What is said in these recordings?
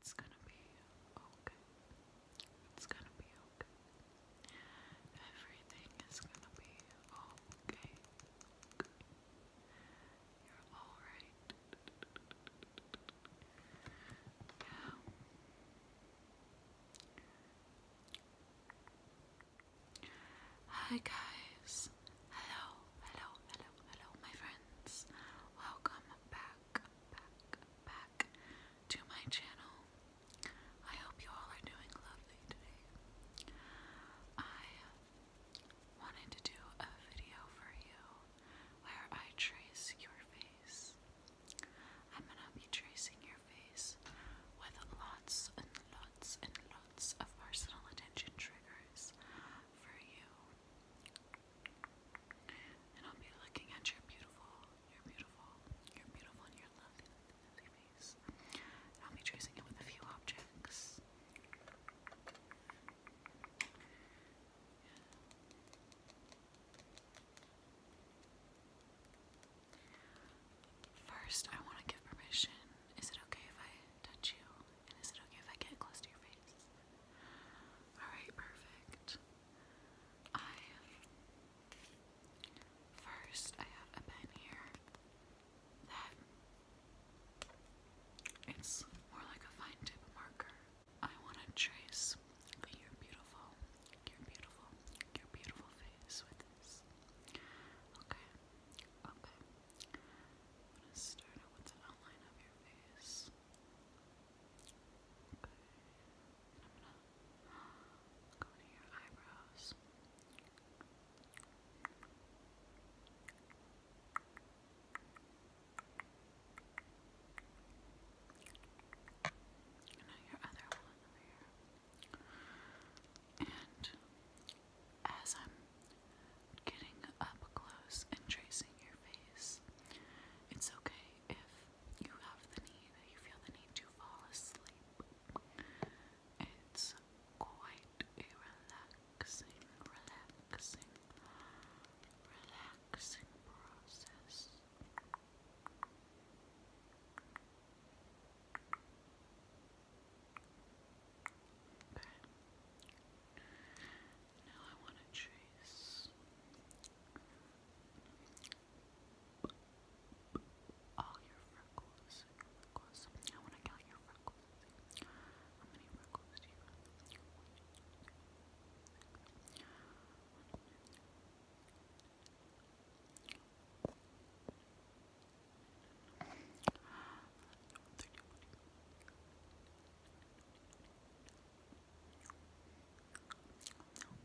It's gonna be okay. It's gonna be okay. Everything is gonna be okay. You're alright. Hi guys. Hello, hello, hello, hello, my friends. Welcome back back, back, back to my channel. I hope you all are doing lovely today. I wanted to do a video for you where I trace your face. I'm gonna be tracing your face with lots and lots and lots of personal attention triggers for you. And I'll be looking at your beautiful, your beautiful, your beautiful, and your lovely, lovely face. I'll be tracing it with a few objects. First, I want to give permission. Is it okay if I touch you? is it okay if I get close to your face? Alright, perfect. I first I have a pen here that it's more like a fine tip marker. I want to trace your beautiful, your beautiful, your beautiful face with this. Okay, okay. I'm gonna start with the outline of your face gonna go to your eyebrows. And now your other one over here. And as I'm Getting up close and tracing your face. It's okay if you have the need, you feel the need to fall asleep. It's quite a relaxing, relaxing, relaxing process. Okay. Now I want to trace all your freckles. I want to count your freckles. How many freckles do you have?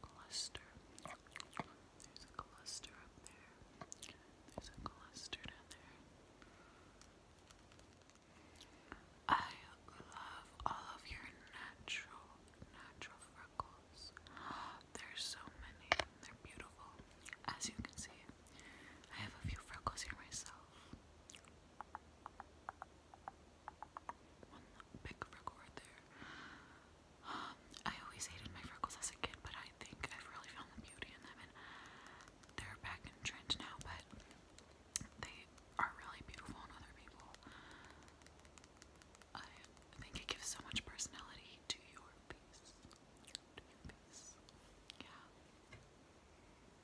cluster. There's a cluster up there. There's a cluster down there. I love all of your natural, natural freckles. There's so many. They're beautiful. As you can see, I have a few freckles here myself. I always hated my freckles as a kid, but I think I've really found the beauty in them, and they're back in trend now, but they are really beautiful on other people. I think it gives so much personality to your face. To your face. Yeah.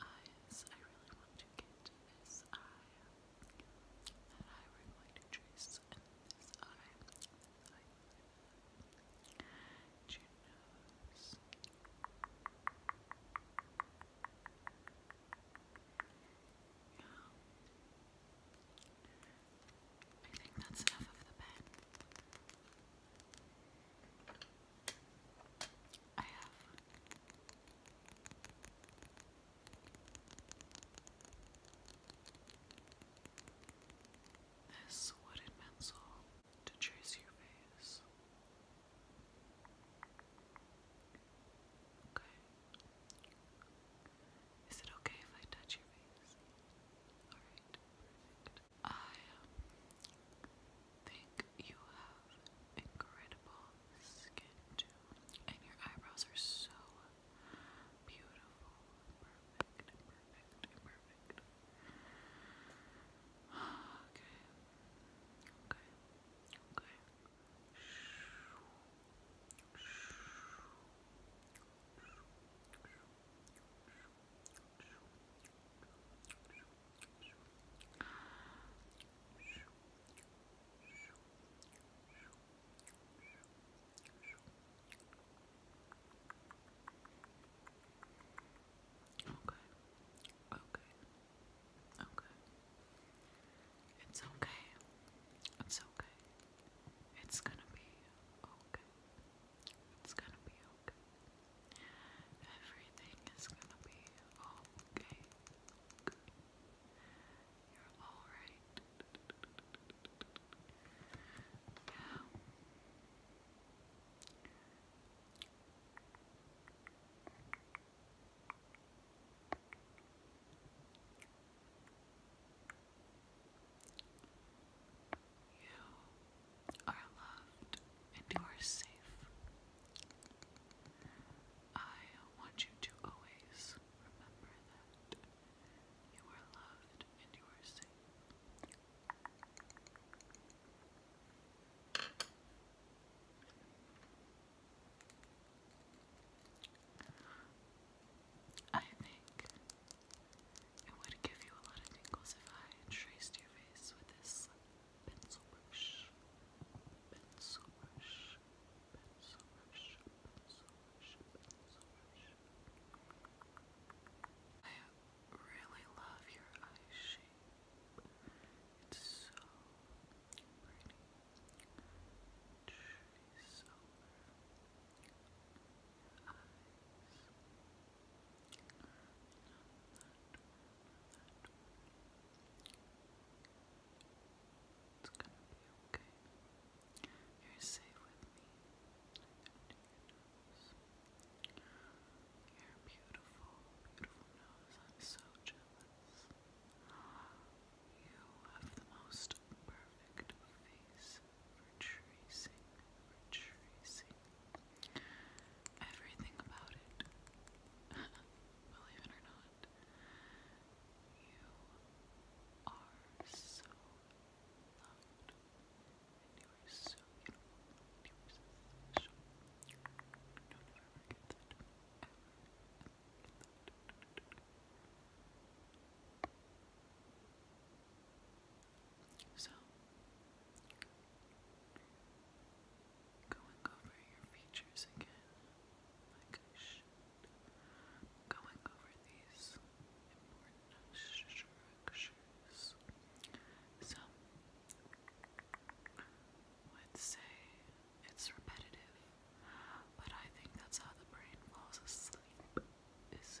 eyes I really want to get this eye that eye we're to trace and this eye this eye and yeah I think that's enough of the pen this wooden pencil to trace your face. Okay. Is it okay if I touch your face? Alright, I um, think you have incredible skin too. And your eyebrows are so beautiful. Perfect, perfect, perfect. Okay. Okay. Okay. Okay. Okay. Okay. Okay. It's okay. It's okay. It's gonna be okay. It's gonna be okay. Everything is gonna be okay. okay. You're alright. Yeah. Okay. You are loved and you are safe. I want you to always remember that. You are loved and you are safe. I think it would give you a lot of tingles if I traced your face with this I really love your eye shape. It's so pretty. Trees eyes. It's gonna be okay. You're safe with me. Your beautiful, beautiful I'm so jealous. You have the most perfect face for tracing, everything about it. Believe it or not, you are so loved, and you are so beautiful, and you are so special. Don't ever forget that. So, going over your features again, like going over these important structures. So, let say it's repetitive, but I think that's how the brain falls asleep. Is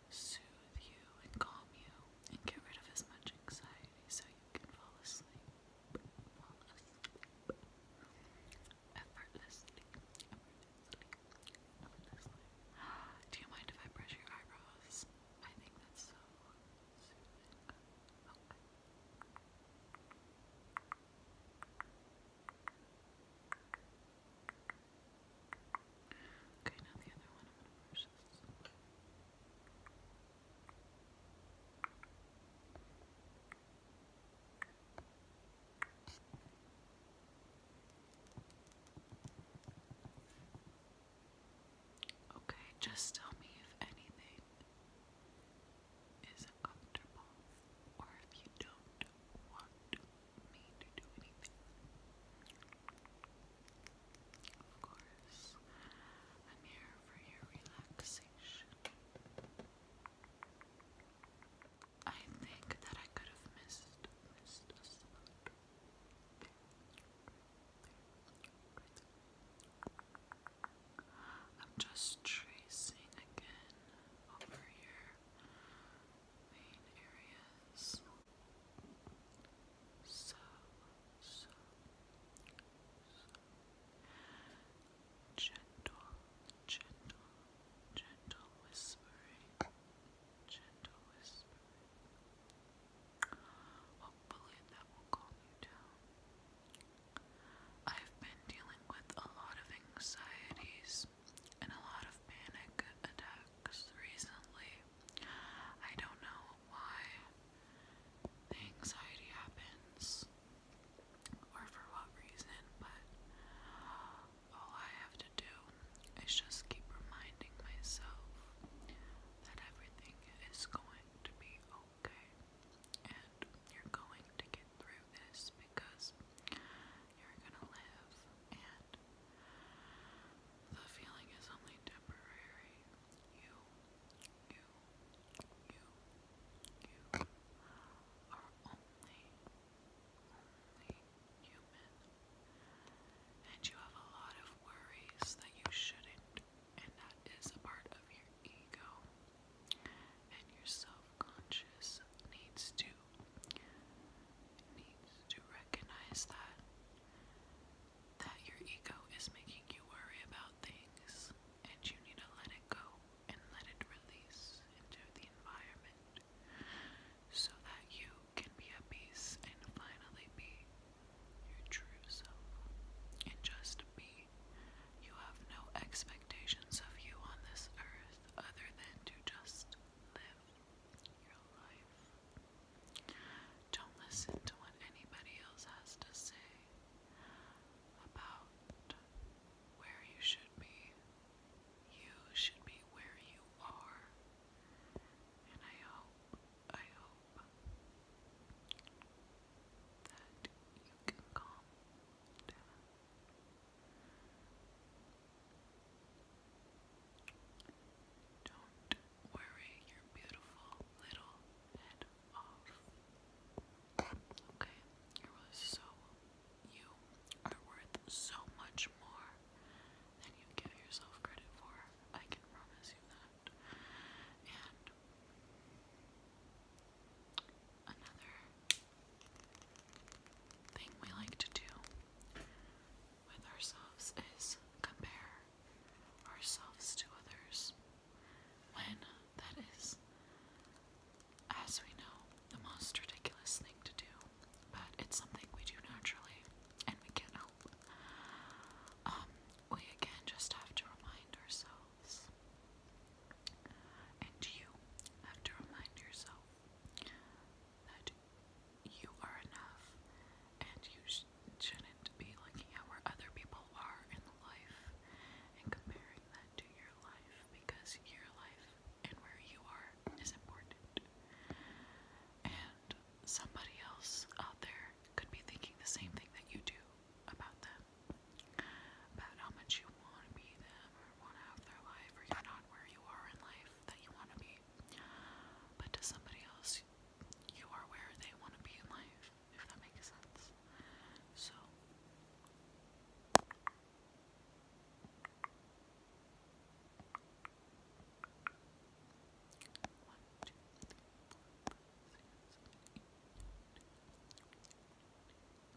soothe you and calm you and get rid of as much anxiety so you can fall asleep. Do you mind if I brush your eyebrows? I think that's so soothing. Okay, just tell me if anything is uncomfortable or if you don't want of course, I'm here for your relaxation. I think that I could have missed missed a I'm just tracing again over your main areas so, so, so gentle, gentle, gentle whispering, gentle whispering. Hopefully that will calm you down. I've been dealing with a lot of anxieties in a lot of panic attacks recently. I don't know why the anxiety happens or for what reason, but all I have to do is just keep reminding myself that everything is going to be okay and you're going to get through this because you're gonna live, and the feeling is only temporary. You, you, you, you are only, only human, and you have a lot of worries that you shouldn't, and that is a part of your ego. And your self conscious needs to needs to recognize that that your ego is making you worry about things and you need to let it go and let it release into the environment so that you can be at peace and finally be your true self and just be. You have no expectations of you on this earth other than to just live. Don't listen to what anybody else has to say about where you should be. You should be where you are. And I hope, I hope that you can calm don't worry your beautiful little head Okay? You're really so, you are worth so much more than you give yourself credit for. I can promise you that. And another thing we like to do with ourselves is compare ourselves to others when that is, as we know, the most ridiculous thing to do, but it's something we do naturally and we can't help. Um, we again just have to remind ourselves, and you have to remind yourself that you are enough and you sh shouldn't be looking at where other people are in life and comparing that to your life because your life and where you are is important. And somebody else out there could be thinking the same thing that you do about them. About how much you want to be them, want to have their life or you're not where you are in life that you want to be. But to somebody else, you are where they want to be in life, if that makes sense. So. You have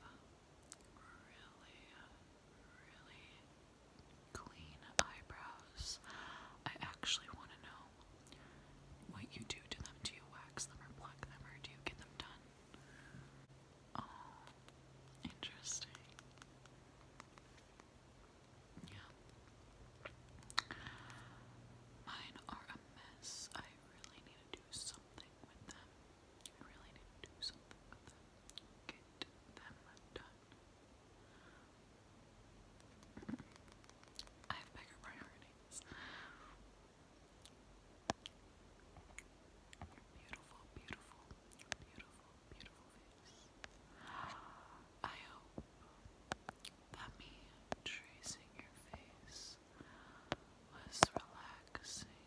uh, really, really clean eyebrows. I actually want to know what you do to them. Do you wax them or pluck them or do you get them done? Oh, interesting. Yeah. Mine are a mess. I really need to do something with them. I really need to do something with them. Get them done. I have bigger priorities. Beautiful, beautiful, beautiful, beautiful I hope that me tracing your face was relaxing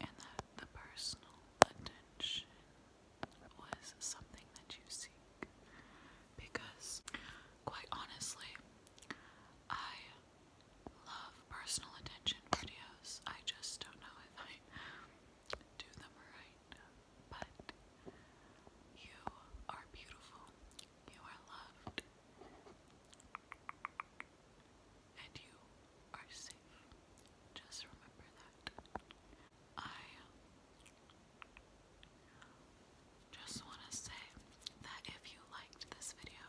and that the personal attention was something that you seek because, quite honestly, I love personal attention videos. I just don't know if I do them right. But you are beautiful. You are loved. And you are safe. Just remember that. I just want to say that if you liked this video,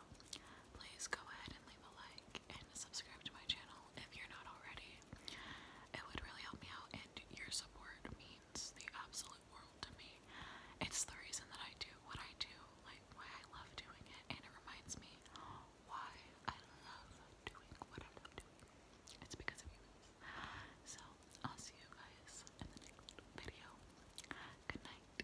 please go ahead and leave a like and subscribe to my channel if you're not already. It would really help me out, and your support means the absolute world to me. It's the reason that I do what I do, like why I love doing it, and it reminds me why I love doing what I love doing. It's because of you. So, I'll see you guys in the next video. Good night.